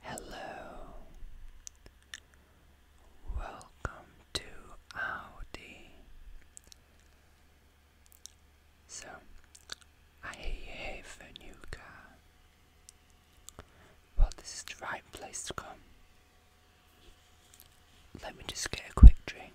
Hello, welcome to Audi. So, I hear you have a new car. Well, this is the right place to come. Let me just get a quick drink.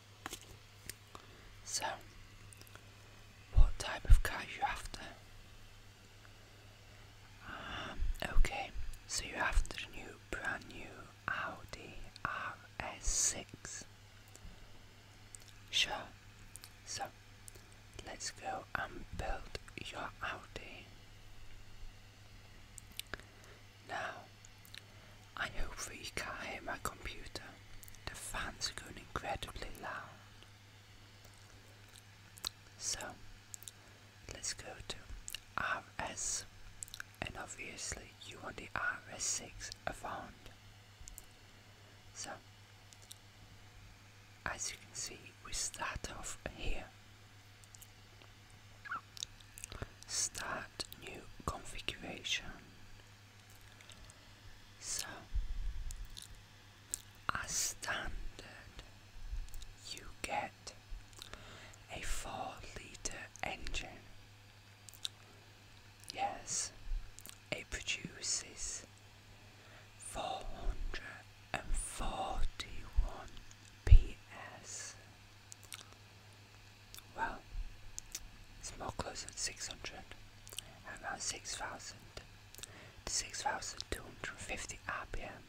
So, what type of car are you after? Um, okay, so you're after a new, brand new Audi RS6. Sure. So, let's go and build your Audi. Now, I hope that you can't hear my computer. The fans are going incredibly loud. So, let's go to RS, and obviously you want the RS6 Avant. So, as you can see, we start off here. Start new configuration. So, as standard, you get a 4 litre engine. Yes, it produces 441 PS. Well, it's more close to 600 and about 6,000 to 6,250 RPM.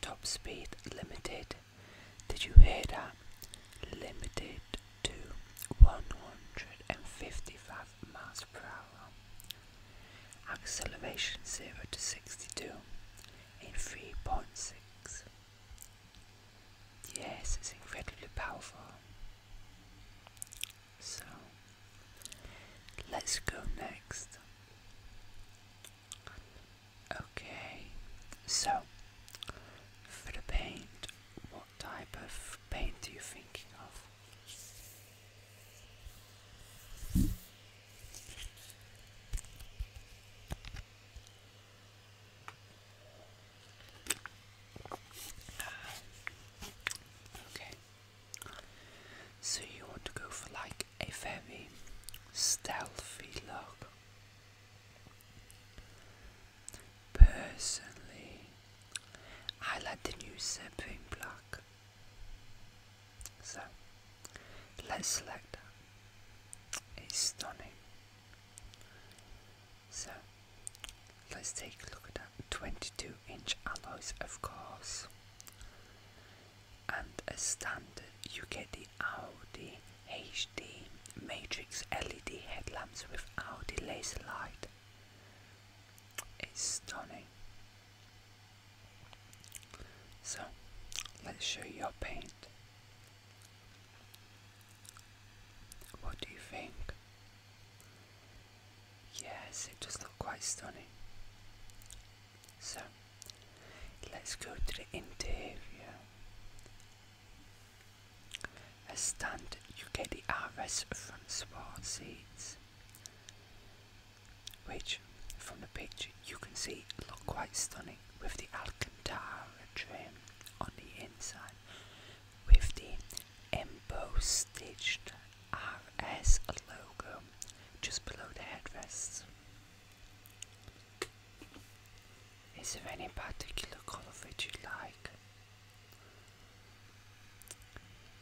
Top speed limited. Did you hear that? Limited to 155 miles per hour. Acceleration 0 to 62 in 3.6 Yes, it's incredibly powerful. So, let's go next. Okay, so for the paint, what type of paint are you thinking of? Okay. So you want to go for like a very stealthy look. Personally, I like the new zipping block. So Let's select that. It's stunning. So let's take a look at that. 22 inch alloys, of course. And as standard, you get the Audi HD Matrix LED headlamps with Audi laser light. It's stunning. So let's show you your paint. What do you think? Yes, it does look quite stunning. So, let's go to the interior. As standard, you get the RS front sport seats, which from the picture, you can see it looks quite stunning with the Alcantara trim on the inside with the embossed stitched RS logo just below the headrests. Is there any particular colour that you like?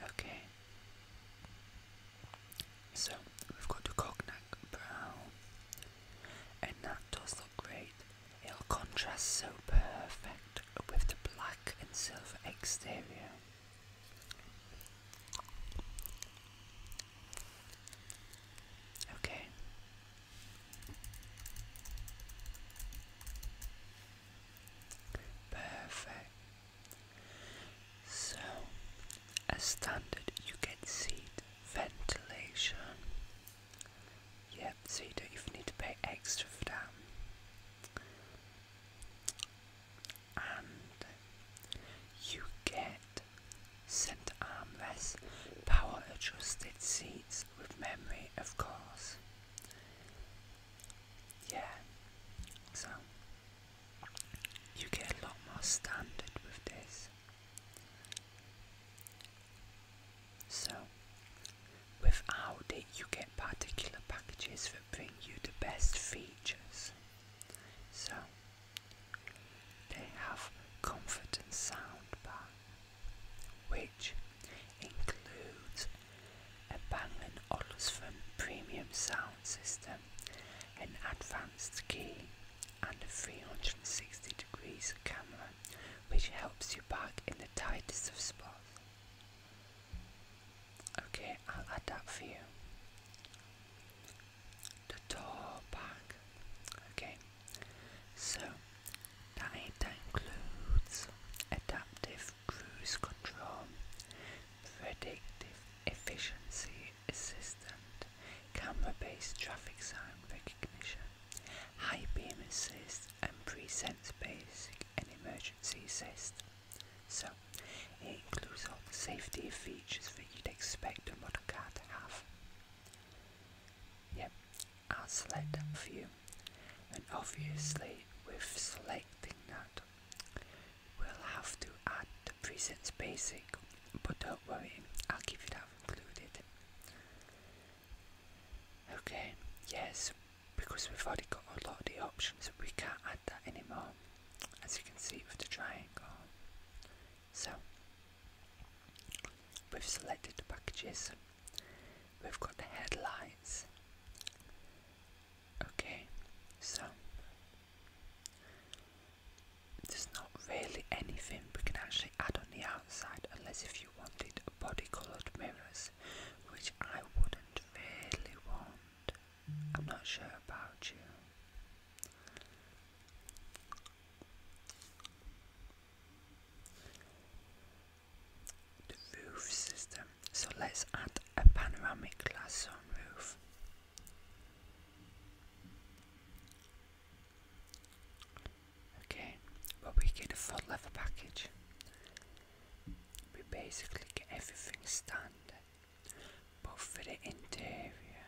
Okay. So we've got the cognac brown, and that does look great. It'll contrast so perfect with the black and silver exterior. Okay. Perfect. So, as standard, you get seed ventilation. Yeah, so you don't even need to pay extra for that. And you get centre armrest, power adjusted seats with memory, of course. Yeah, so you get a lot more standard with this. So, without it, you get particular packages that bring you the best features. So, they have comfort and bar, which includes a Bang & Olufsen premium sound system, an advanced key, and a 360 degrees camera which helps you back in the tightest of spots. Okay, I'll add that for you. The door back. Okay, so that includes adaptive cruise control, predictive efficiency assistant, camera-based traffic sign recognition, high beam assist and pre-sense basic and emergency assist. So, it includes all the safety features that you'd expect a modern car to have. Yep, I'll select that for you. And obviously, with selecting that, We'll have to add the presets basic, but don't worry, I'll keep it that included. Okay, yes, because we've already got a lot of the options, we can't add that anymore, as you can see with the triangle. So, we've selected the packages, we've got the headlines. Okay, so there's not really anything we can actually add on the outside unless if you wanted body coloured mirrors, which I wouldn't really want. I'm not sure about you. The roof system. So let's add a panoramic glass sunroof. Okay, but we get a full leather package. We basically get everything standard, but for the interior,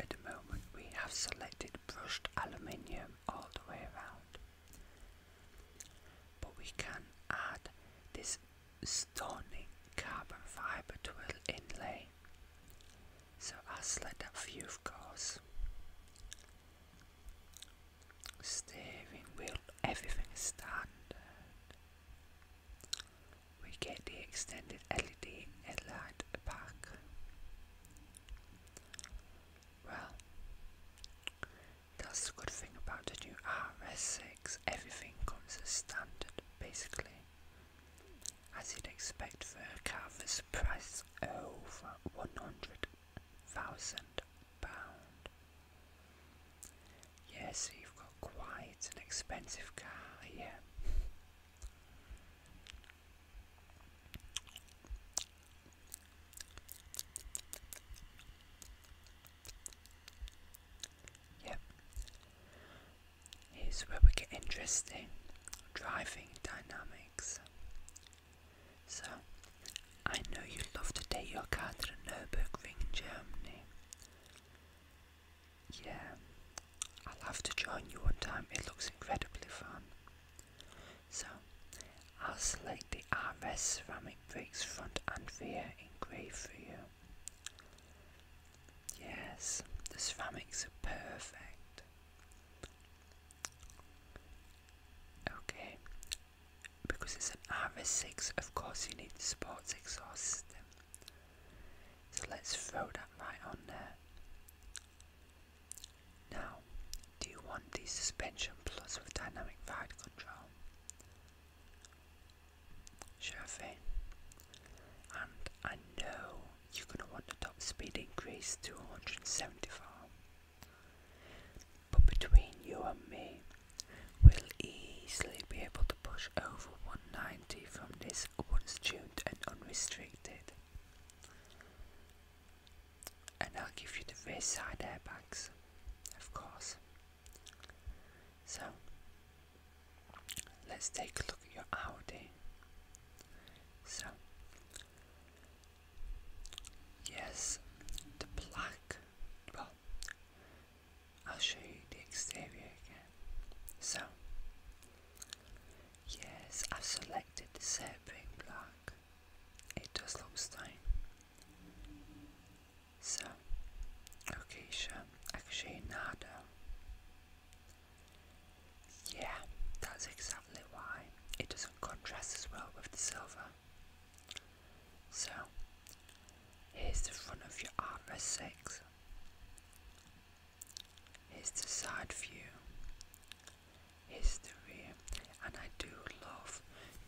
at the moment we have selected brushed aluminium all the way around. But we can add this Stony carbon fiber twill inlay. So I will slid that view of course. Steering wheel, everything is standard. We get the extended LED headlight pack. Well, that's a good thing about the new RS6 everything comes as standard, basically. As you'd expect for a car that's price over £100,000. Yes, you've got quite an expensive car here. Yep, Here's where we get interesting driving dynamics. So, I know you love to take your car to the Nürburgring, in Germany. Yeah, I'll have to join you one time, it looks incredibly fun. So, I'll select the RS ceramic brakes front and rear in for you. Yes, the ceramics are perfect. Okay, because it's an RS6, of course you need the sports exhaust system. So let's throw that right on there. Now, do you want the suspension plus with dynamic ride control? Chevy. And I know you're going to want the top speed increase to 175. But between you and me, we'll easily be able to push over 190 from this once tuned and unrestricted. And I'll give you the rear side airbags, of course. So let's take a look at your Audi. So yes, the black well I'll show you the exterior again. So yes, I've selected the Serpent black. It does look stunning. So, location actually nada. Yeah, that's exactly why it doesn't contrast as well with the silver. So, here's the front of your RS6. Here's the side view. Here's the rear, and I do love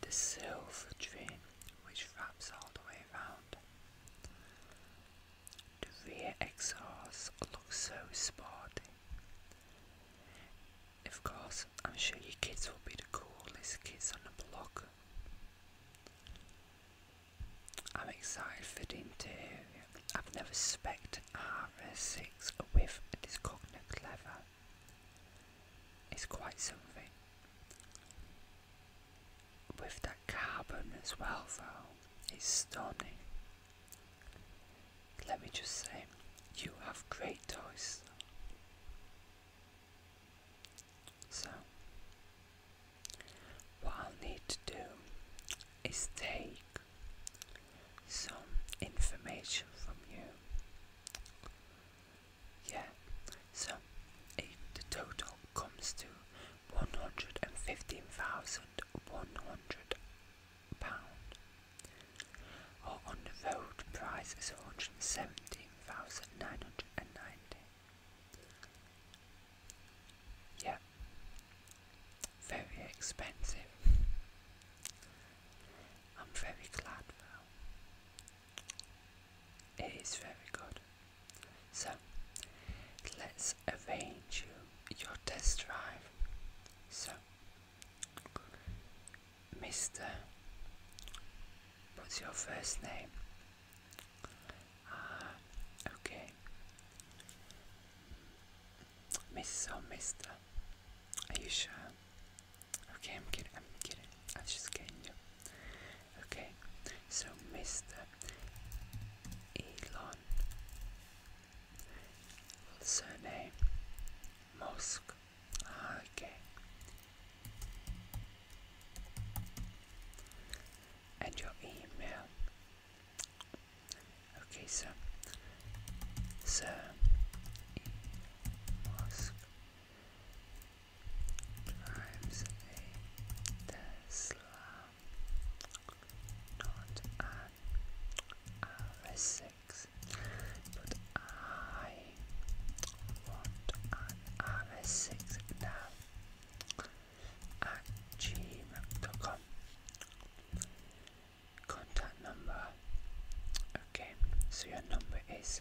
the silver trim which wraps all the way around. The rear exhaust looks so sporty. Of course, I'm sure your kids will be the coolest kids on the block. I'm excited for the interior. I've never spec'd an RS6 with this cognac Clever. It's quite something. With that carbon as well though, it's stunning. Let me just say, you have great eyes. So, what I'll need to do is take some information from you yeah, so if the total comes to one hundred and fifteen thousand one hundred pound. Or on the road, price is one hundred and seventeen thousand nine hundred and ninety. Yeah, very expensive. I'm very glad though it is very good. So, let's arrange you, your test drive. So, Mr. What's your first name? Ah, okay. Miss or Mister? Are you sure? Okay, I'm kidding. I'm kidding. I am just kidding you. Okay, so Mr. Elon, surname Musk. Okay, and your email. Okay, so Sir Musk times a Tesla, not an RS6, but I want an RS6 now at Contact number. Okay, so your number is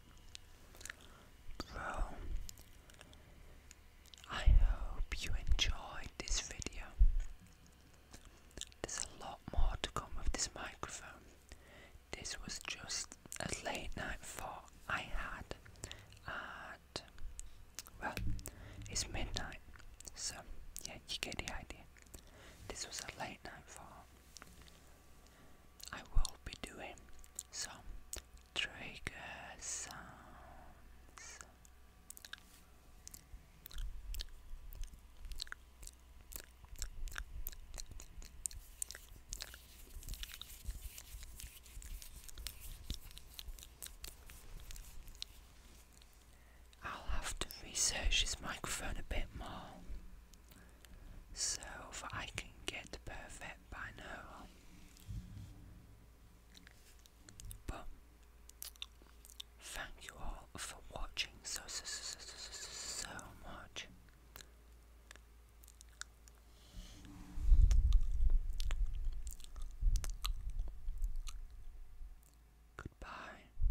Well, I hope you enjoyed this video. There's a lot more to come with this microphone. This was just a late night for I had at, well, it's midnight, so yeah, you get the idea. This was a late night for. I will be doing some trigger sounds. I'll have to research his microphone a bit more so that I can get perfect by now. But thank you all for watching so so so so, so, so much. Goodbye.